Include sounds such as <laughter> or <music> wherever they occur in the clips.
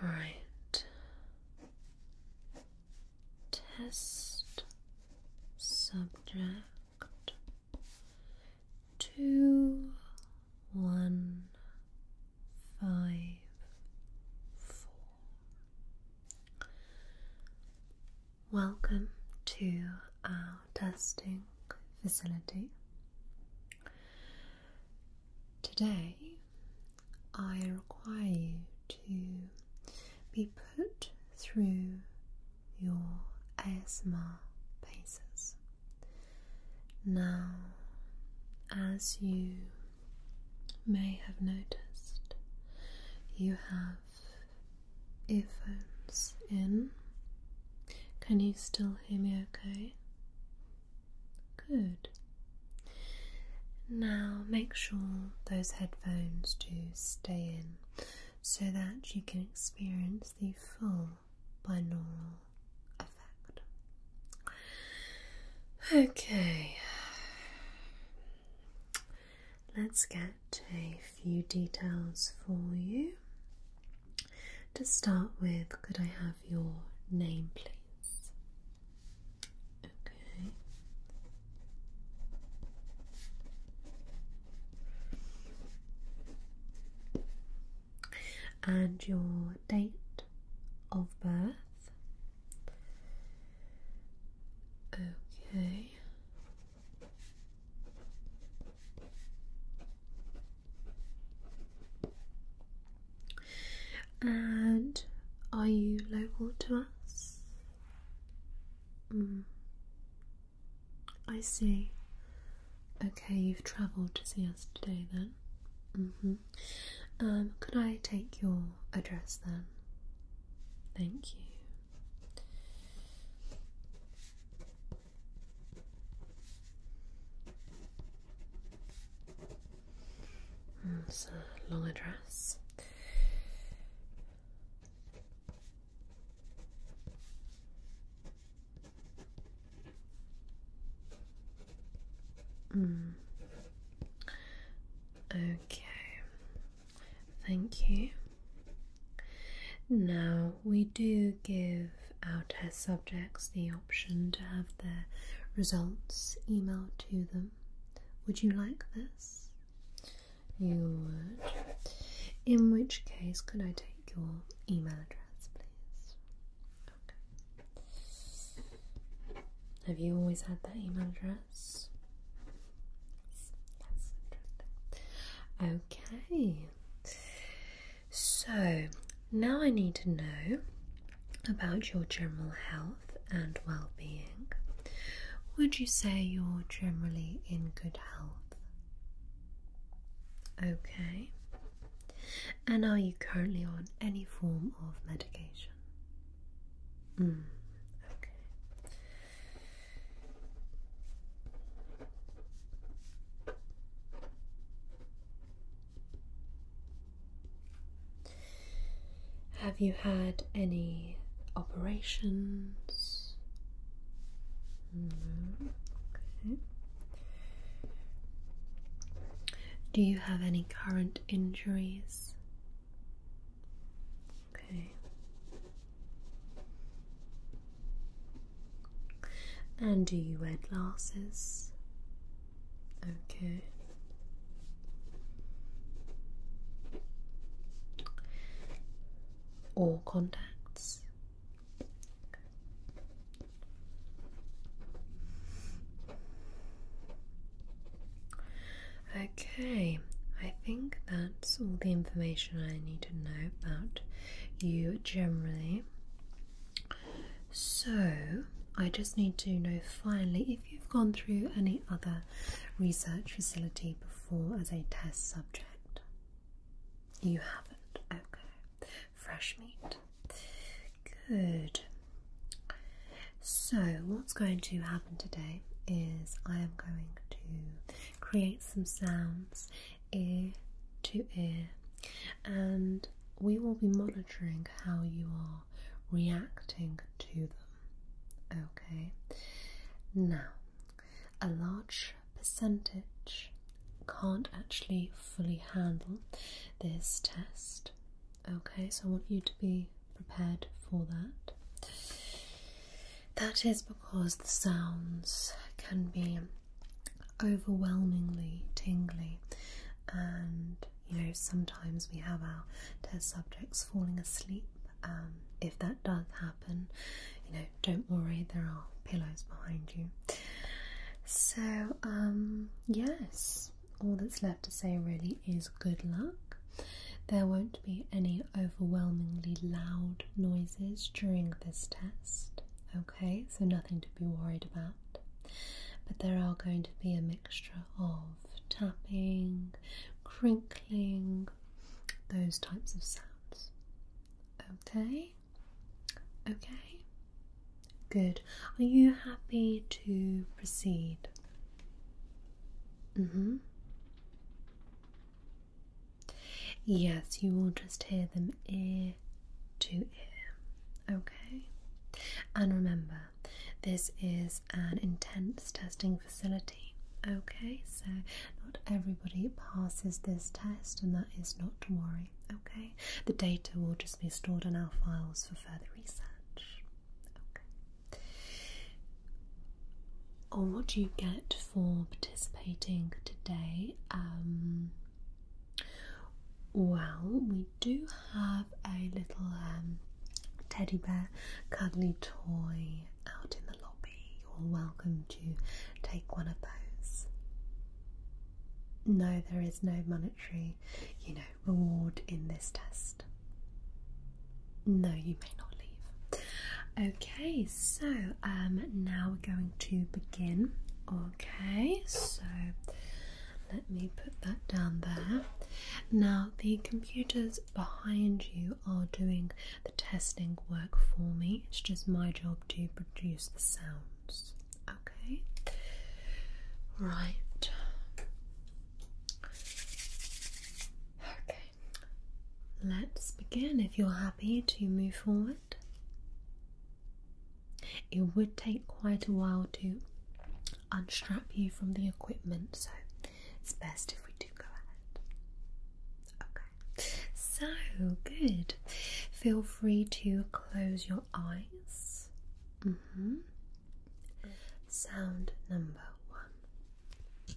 Right. Test subject two one five four. Welcome to our testing facility. Today, I require you to be put through your ASMR paces. Now, as you may have noticed, you have earphones in. Can you still hear me okay? Good. Now make sure those headphones do stay in so that you can experience the full binaural effect. Okay let's get a few details for you. To start with, could I have your name, please? Okay. And your date of birth. Okay. And are you local to us? Mm. I see. Okay, you've travelled to see us today then. Mm-hmm. Um, could I take your address then? Thank you. It's a long address. Mm. Okay, Thank you. Now, we do give our test subjects the option to have their results emailed to them. Would you like this? You would. In which case, could I take your email address, please? Okay. Have you always had that email address? Yes, that's Okay, so now I need to know about your general health and well being. Would you say you're generally in good health? Okay, and are you currently on any form of medication? Mm, okay. Have you had any operations? Do you have any current injuries? Okay. And do you wear glasses? Okay. Or contacts? Okay, I think that's all the information I need to know about you generally. So, I just need to know finally if you've gone through any other research facility before as a test subject. You haven't, okay. Fresh meat. Good. So, what's going to happen today is I am going to create some sounds ear to ear, and we will be monitoring how you are reacting to them. Okay, now a large percentage can't actually fully handle this test. Okay, so I want you to be prepared for that. That is because the sounds can be overwhelmingly tingly, and you know, sometimes we have our test subjects falling asleep. Um, if that does happen, you know, don't worry, there are pillows behind you. So, um, yes, all that's left to say really is good luck. There won't be any overwhelmingly loud noises during this test. Okay, so nothing to be worried about. But there are going to be a mixture of tapping, crinkling, those types of sounds. Okay? Okay? Good. Are you happy to proceed? Mm hmm. Yes, you will just hear them ear to ear. Okay? And remember, this is an intense testing facility. Okay, so not everybody passes this test, and that is not to worry. Okay, the data will just be stored in our files for further research. Okay, on what do you get for participating today. Um, well, we do have a little um, teddy bear cuddly toy out in the lobby. You're welcome to take one of those. No, there is no monetary, you know, reward in this test. No, you may not leave. Okay, so um, now we're going to begin. Okay, so let me put that down there. Now, the computers behind you are doing the testing work for me. It's just my job to produce the sounds. Okay, right. Okay, let's begin. If you're happy to move forward, it would take quite a while to unstrap you from the equipment, so it's best if we do go ahead. Okay, so good. Feel free to close your eyes. Mm-hmm. Sound number one.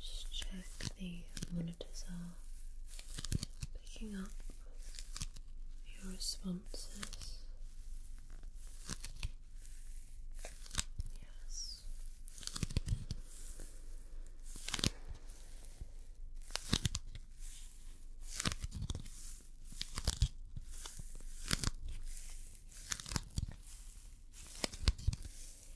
Just check the monitors are picking up your responses. Yes.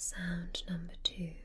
Sound number two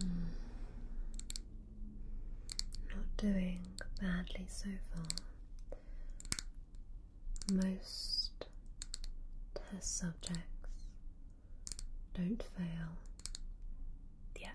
Hmm. Not doing badly so far. Most test subjects don't fail yet.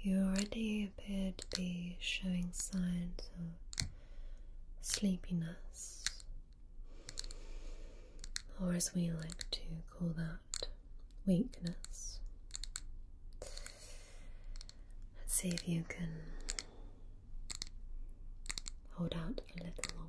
You already appear to be showing signs of sleepiness or as we like to call that, weakness. Let's see if you can hold out a little longer.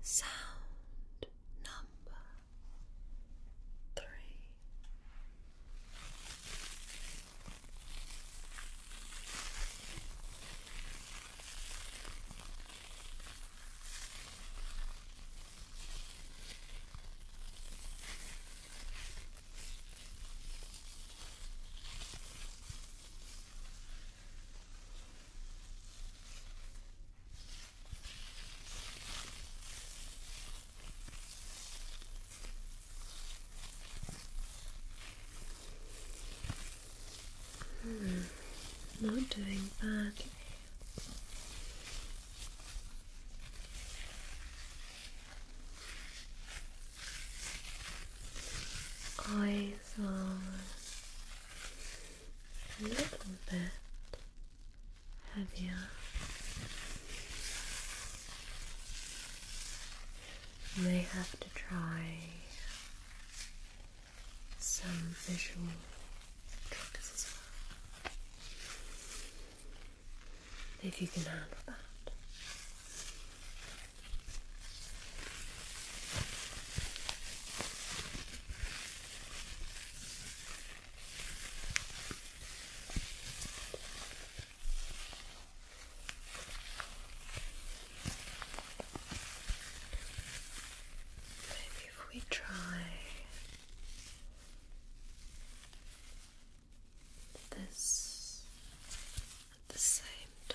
Sound number three. Hmm, not doing badly. Eyes are a little bit heavier. You may have to try some visual tricks as well. If you can handle that. Maybe if we try this at the same time.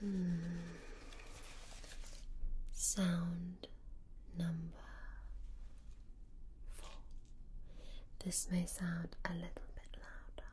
Hmm. Sound number four. This may sound a little bit louder.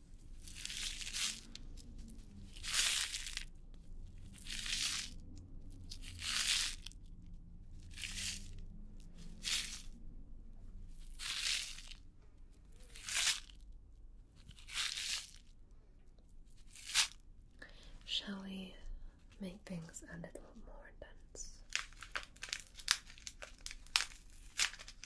Shall we make things a little more dense?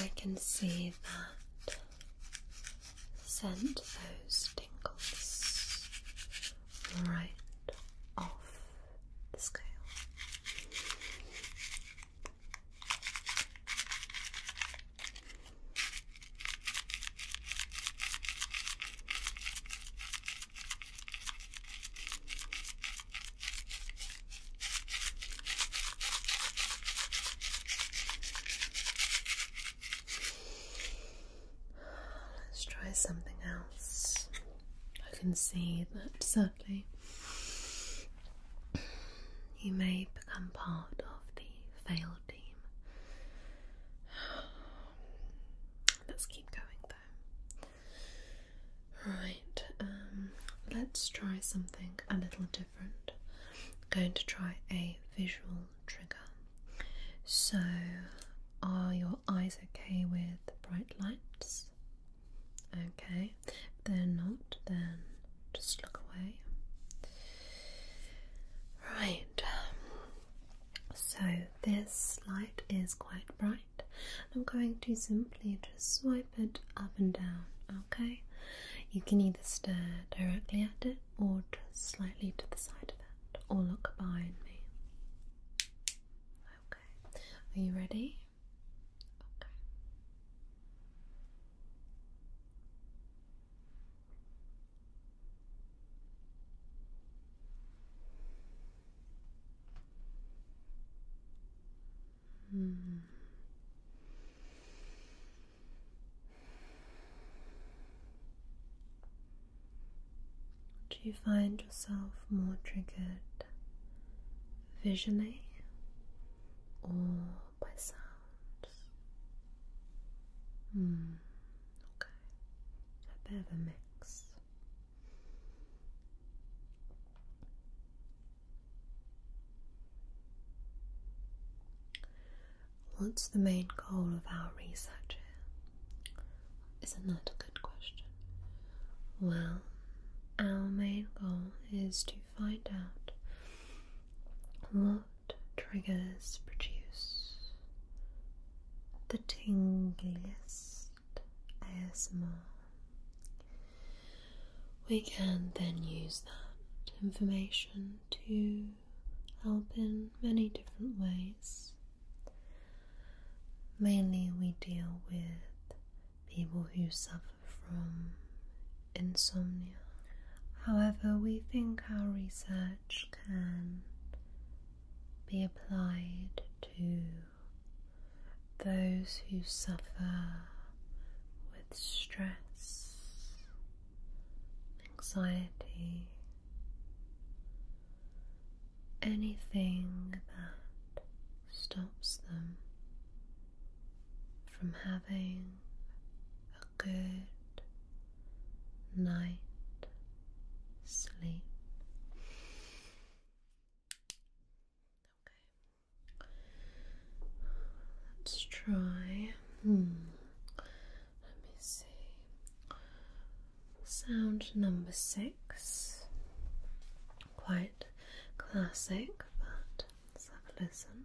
I can see that sent those tingles right off the scale. Let's try something else. I can see that sadly you may become part of the failed team. Let's keep going though. Right, um, let's try something a little different. going to try a visual trigger. So, are your eyes okay with bright lights? Okay, if they're not, then just look away. Right, um, so this light is quite bright. I'm going to simply just swipe it up and down, okay? You can either stare directly at it or just slightly to the side of it, or look behind me. Okay, are you ready? Okay. Mm. Do you find yourself more triggered visually or by sounds? Hmm, okay. a bit of a mix. What's the main goal of our research is Isn't that a good question? Well, our main goal is to find out what triggers produce the tingliest asthma. We can then use that information to help in many different ways. Mainly, we deal with people who suffer from insomnia. However, we think our research can be applied to those who suffer with stress, anxiety, anything that stops them from having a good night sleep. Okay. Let's try. Hmm, let me see. Sound number six. Quite classic, but let's have a listen.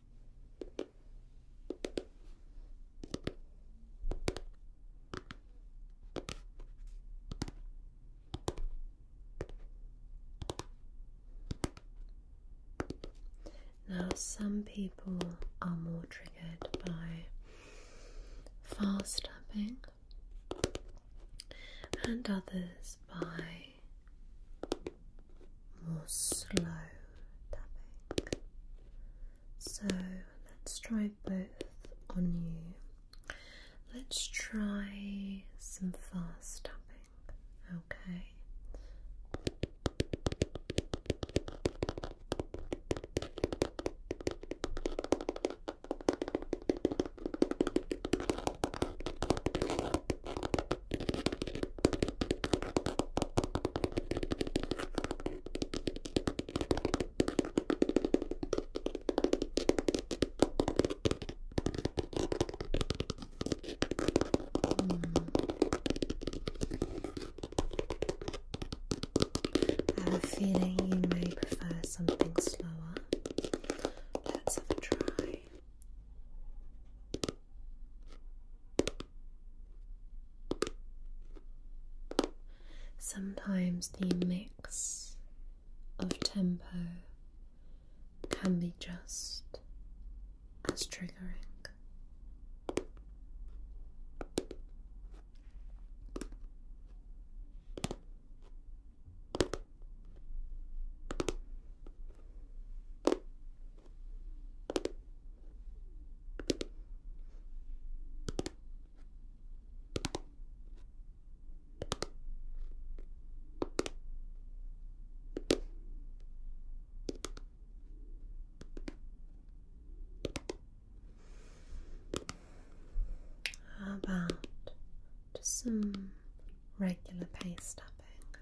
Now, some people are more triggered by fast tapping and others by more slow tapping. So let's try both on you. Let's try some fast tapping, okay? I have a feeling you may prefer something slower. Let's have a try. Sometimes the mix of tempo can be just as triggering. How about just some regular paste tapping?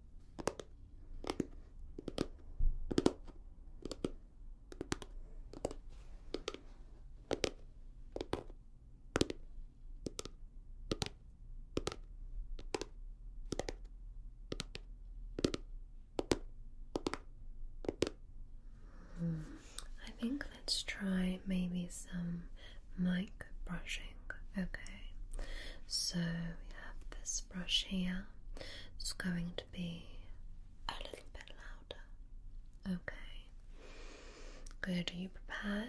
I think let's try maybe some mic brushing. Okay, so we have this brush here it's going to be a little bit louder. Okay. Good. Are you prepared?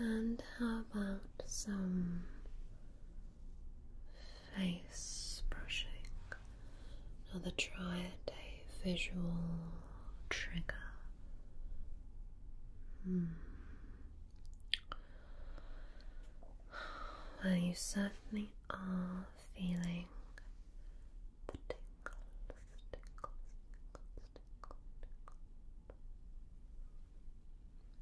And how about some face brushing. Another try at a visual trigger. Hmm. Well, you certainly are feeling the tingles.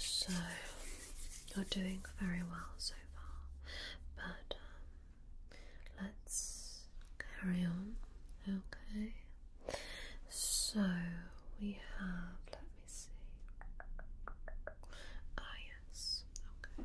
So, you're doing very well so far, but um, let's carry on, okay? So, we have, let me see. Ah, yes, okay.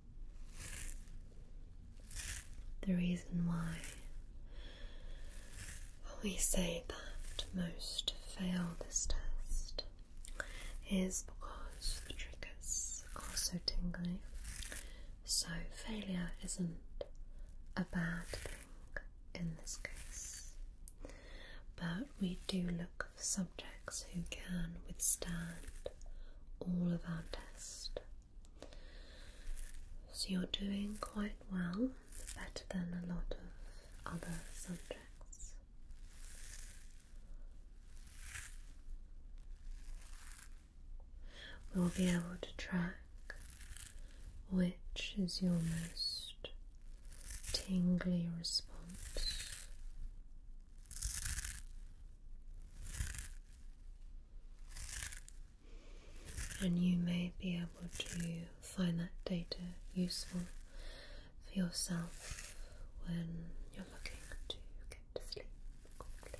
The reason why we say that most fail this test is because the triggers are so tingly. So, failure isn't a bad thing in this case, but we do look subjects who can withstand all of our tests. So you're doing quite well, better than a lot of other subjects. We'll be able to track which is your most tingly response and you may be able to find that data useful for yourself when you're looking to get to sleep quickly.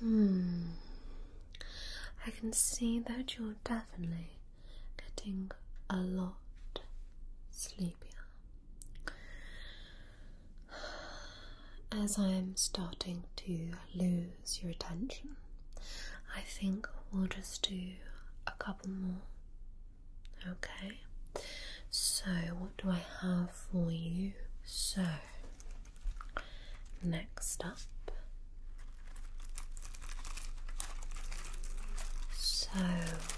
Hmm. I can see that you're definitely getting a lot sleepier. As I'm starting to lose your attention, I think we'll just do a couple more Okay, so what do I have for you? So, next up. So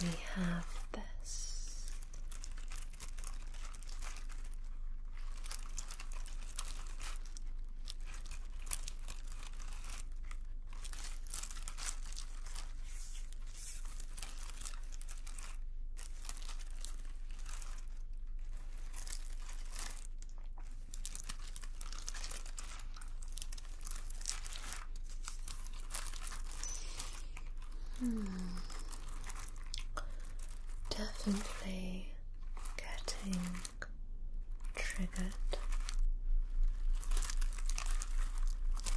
we have this. Hmm. Definitely getting triggered.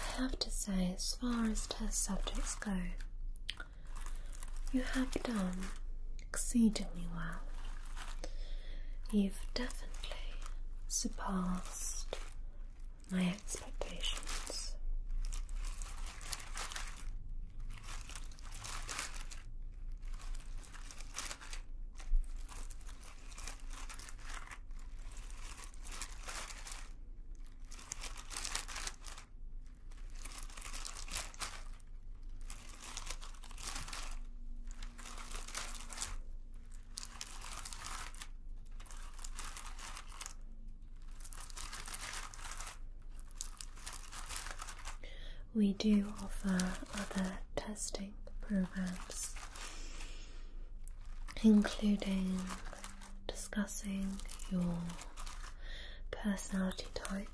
I have to say, as far as test subjects go, you have done exceedingly well. You've definitely surpassed my expectations. We do offer other testing programs, including discussing your personality type.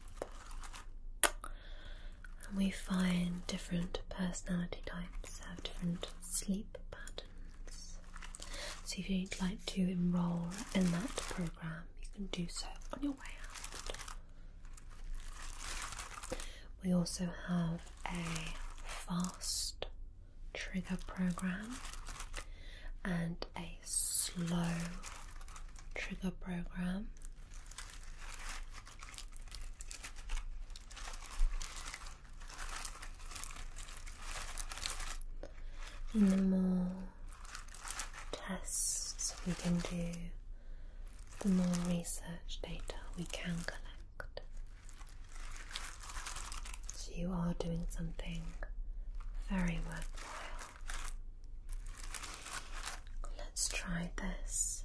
And we find different personality types have different sleep patterns. So if you'd like to enroll in that program, you can do so on your way out. We also have a fast trigger program and a slow trigger program. And the more tests we can do, the more research data we can collect. So you are doing something very worthwhile. Let's try this.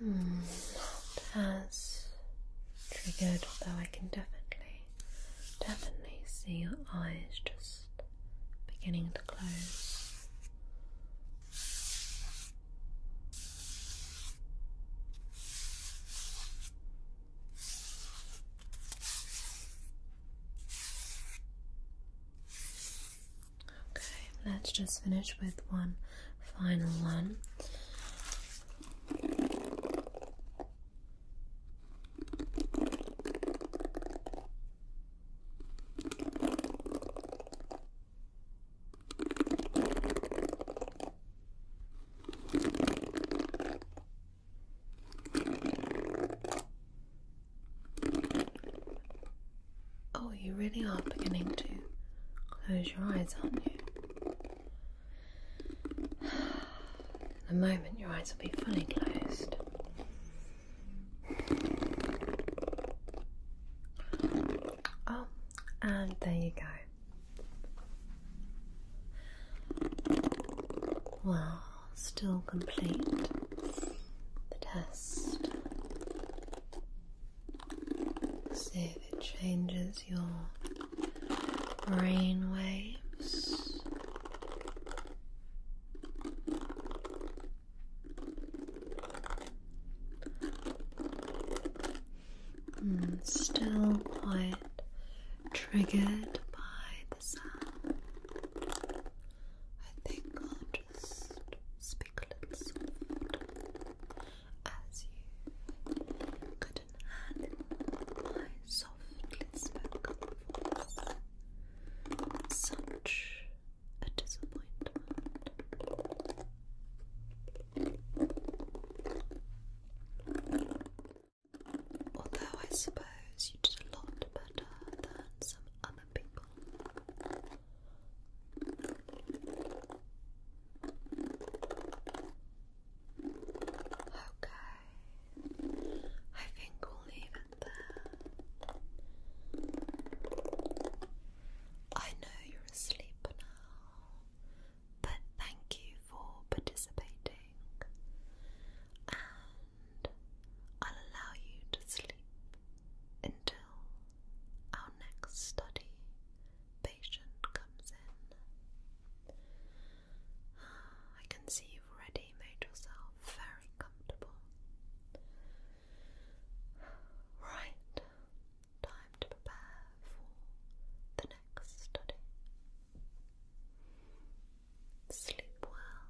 not hmm, as triggered, though. I can definitely, definitely see your eyes just beginning to close. Okay, let's just finish with one final one. Oh, you really are beginning to close your eyes, aren't you? In <sighs> a moment, your eyes will be fully closed. Oh, and there you go. Well, still complete the test. See if it changes your brain waves. Hmm, still quite triggered by the sound. I think I'll just spiglets of water as you couldn't handle my softly spoken voice. Such a disappointment. Although I suppose you did a lot better than some other Okay, I think we'll leave it there. I know you're asleep now, but thank you for participating, and I'll allow you to sleep until now, our next study patient comes in. I can see you've already made yourself very comfortable. Right, time to prepare for the next study. Sleep well.